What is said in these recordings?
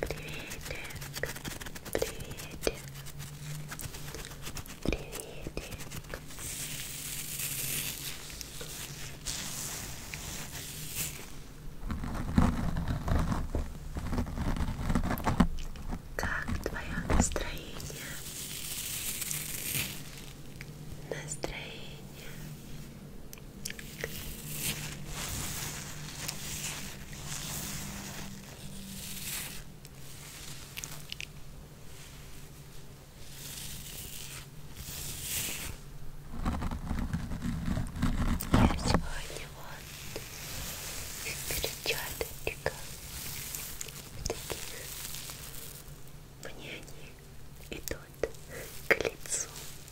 Приветик, приветик, приветик. Как твое настроение? Настроение я сегодня вот перчаточка в таких мне они идут к лицу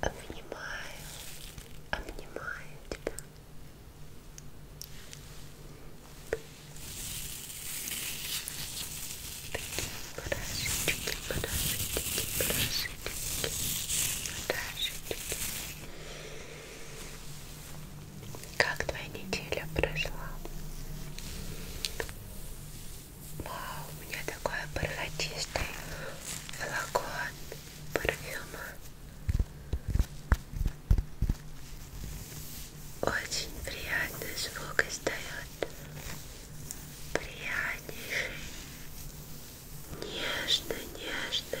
Обнимаю, обнимаю тебя. Такие барашечки, барашечки, барашечки, барашечки. Как твоя неделя прошла? Вау, у меня такой бархатистый флакон парфюма. Очень приятный звук издает. Приятнейший. Нежный, нежный.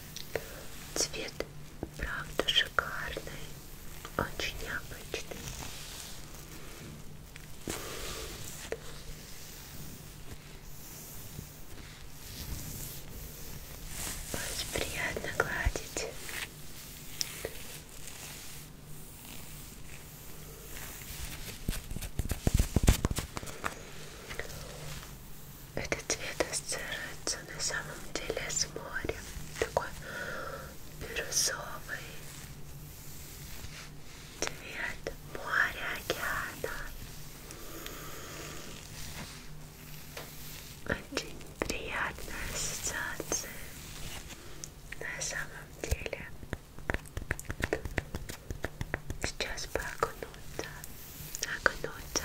Цвет правда шикарный, очень необычный. Очень приятно гладить. Этот цвет ассоциируется на самом деле с морем. Такой бирюзовый цвет моря, океана. Очень приятная ассоциация на самом деле. Сейчас бы окунуться, окунуться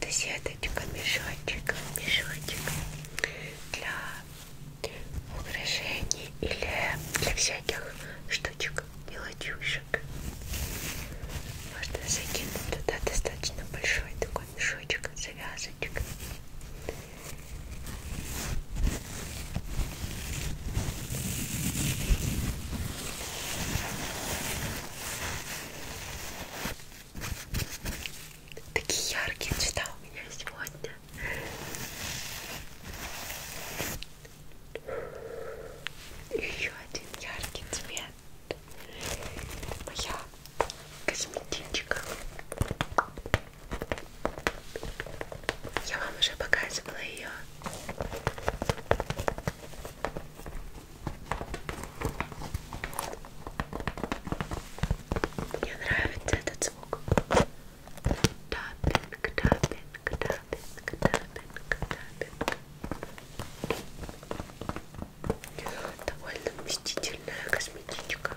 Это сеточка, мешочек, мешочек для украшений или для всяких штучек, мелочушек. Можно закинуть туда достаточно большой такой мешочек, завязочек. Такие яркие цвета у меня сегодня. Еще один яркий цвет. Моя косметичка. Я вам уже показывала ее. Мне нравится этот звук. Тапинг, тапинг, тапинг, тапинг, тапинг. Довольно вместительная косметичка.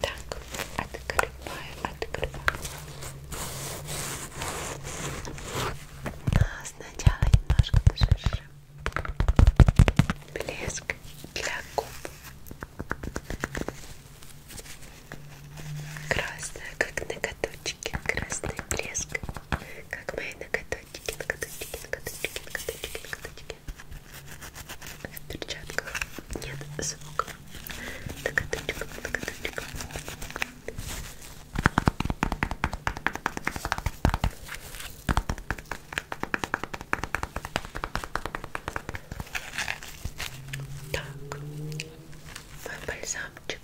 Так, открываю, открываю. А сначала немножко пошуршим. Блеск для губ. Красная, как ноготочки. Красный блеск. Как мои ноготочки, ноготочки, ноготочки, ноготочки, ноготочки. В перчатках нет звука. Закаточка, закаточка. Так, мой бальзамчик.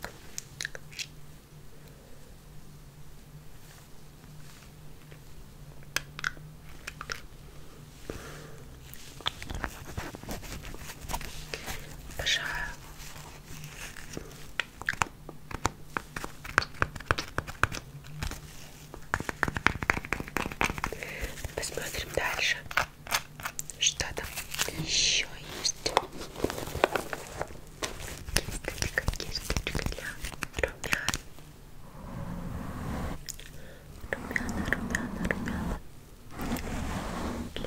Обожаю. Посмотрим дальше. Что там еще есть? Есть какие штучки для румян? Румяна, румяна, румяна.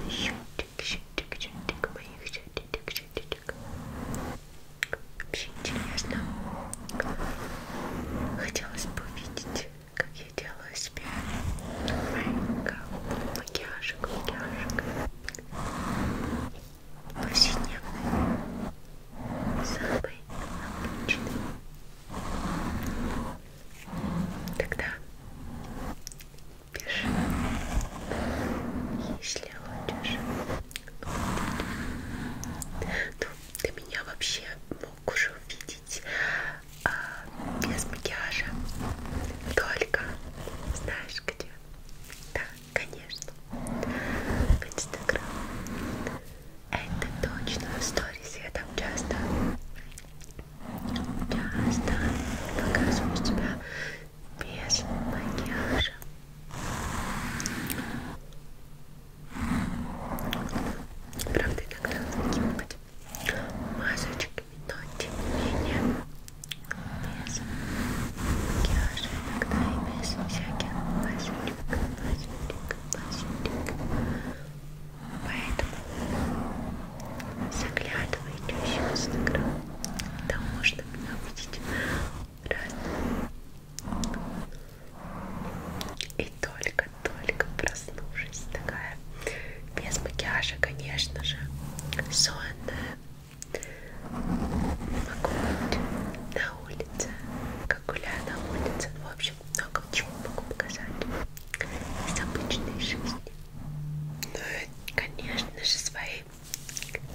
Щетик, щетик, щетик моих щетик, щетик. Вообще интересно. Хотелось бы увидеть, как я делаю себе макияжик, макияжик. Повседневный, самый обычный. Тогда пиши, если хочешь. Ну, ты меня вообще мог уже увидеть а, без макияжа. Только знаешь где? Да, конечно. В Инстаграм. Это точно в сторис я там часто часто показываю тебя без макияжа правда иногда какие-нибудь масочки но тем не менее без макияжа иногда и без всяких масочек масочек масочек Поэтому заглядывайте еще в Инстаграм. Там можно меня увидеть разные. И только-только прослушать такая. Без макияжа, конечно же, сонная. Могу быть на улице, как гуляю на улице. В общем, много чего могу показать из обычной жизни. Ну и, конечно же, свои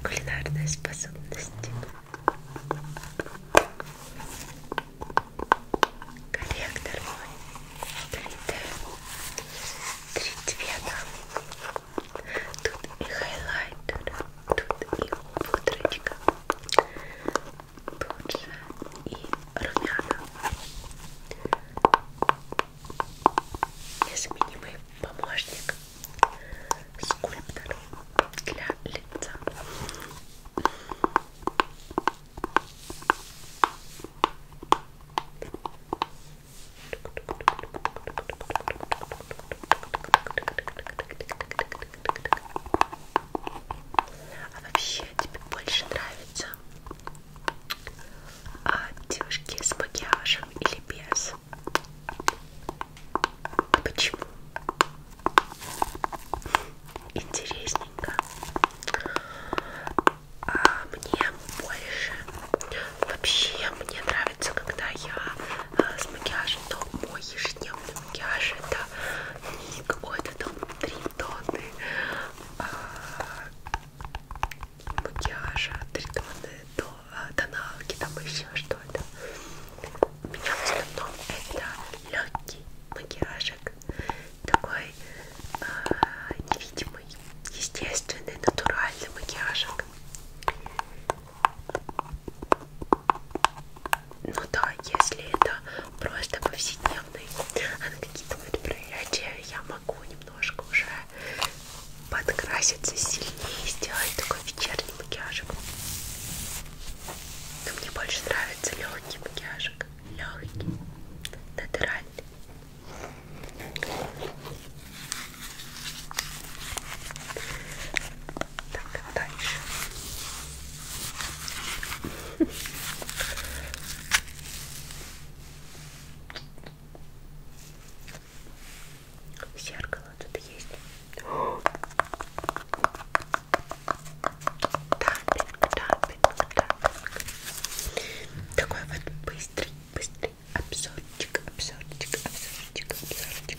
кулинарные способности. Корректор мой 3D, три цвета. Тут и хайлайтер, тут и пудрочка лучше и румяна незаменимый помощник скульптор для лица а вообще тебе больше нравится а, девушки с макияжем или без? А почему? Интересненько. А мне больше. Вообще мне нравится, когда я а, с макияжем, но мой ежедневный макияж это ник от это три тоны а, макияжа, три тоны до а, тоналки, там еще что-то. У меня в основном это легкий макияжик, такой а, невидимый, естественный, натуральный макияжик. Ну да, если это просто повседневный, а на какие-то вот проявления я могу немножко уже подкраситься сильнее, сделать такой вечерний макияжик. Но мне больше нравится легкий макияжик, легкий, натуральный. Так, дальше. Зеркало тут есть. Тапинг, тапинг, тапинг. Такой вот быстрый, быстрый обзорчик, обзорчик, обзорчик, обзорчик.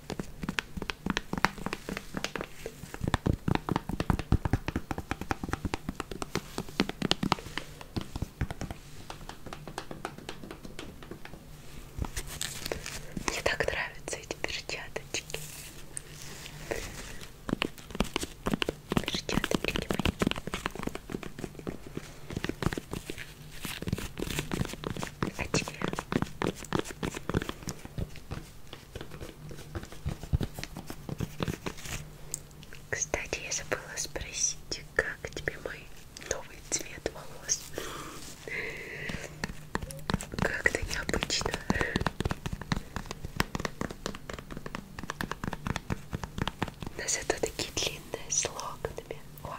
Мне так нравятся эти перчаточки. Перчаточки мои. А тебе? Кстати, я забыла спросить, как тебе мой новый цвет волос? Как-то необычно. Но зато такие длинные с локонами. Вау.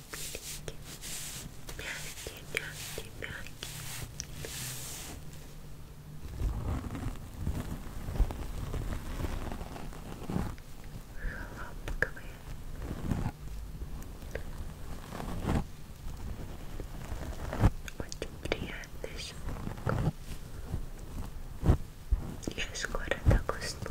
хлопковые очень приятный звук я скоро так усну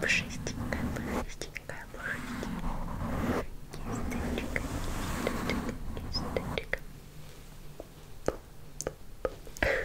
Пушистенькая, пушистенькая, пушистенькая. Кисточка, кисточка, кисточка. Ой,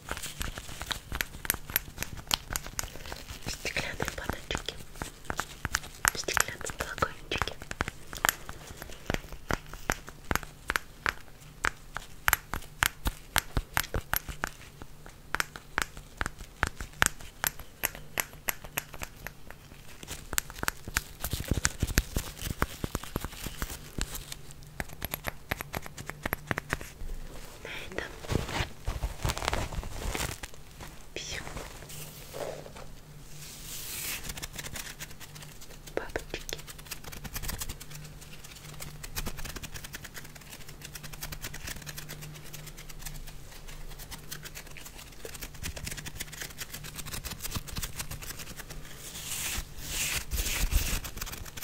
Стеклянные баночки, стеклянные флакончики. На этом все. Бабочки.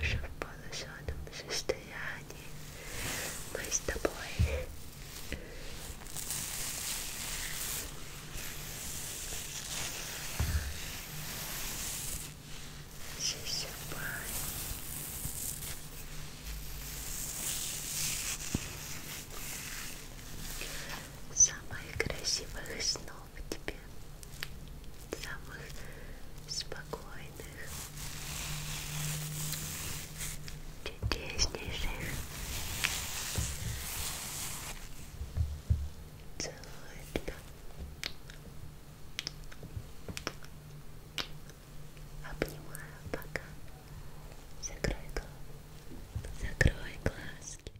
уже в полусонном состоянии мы с тобой засыпаем самых красивых снов тебе самых спокойных, чудеснейших. Целую тебя. Обнимаю пока. Закрой глаз. Закрой глазки.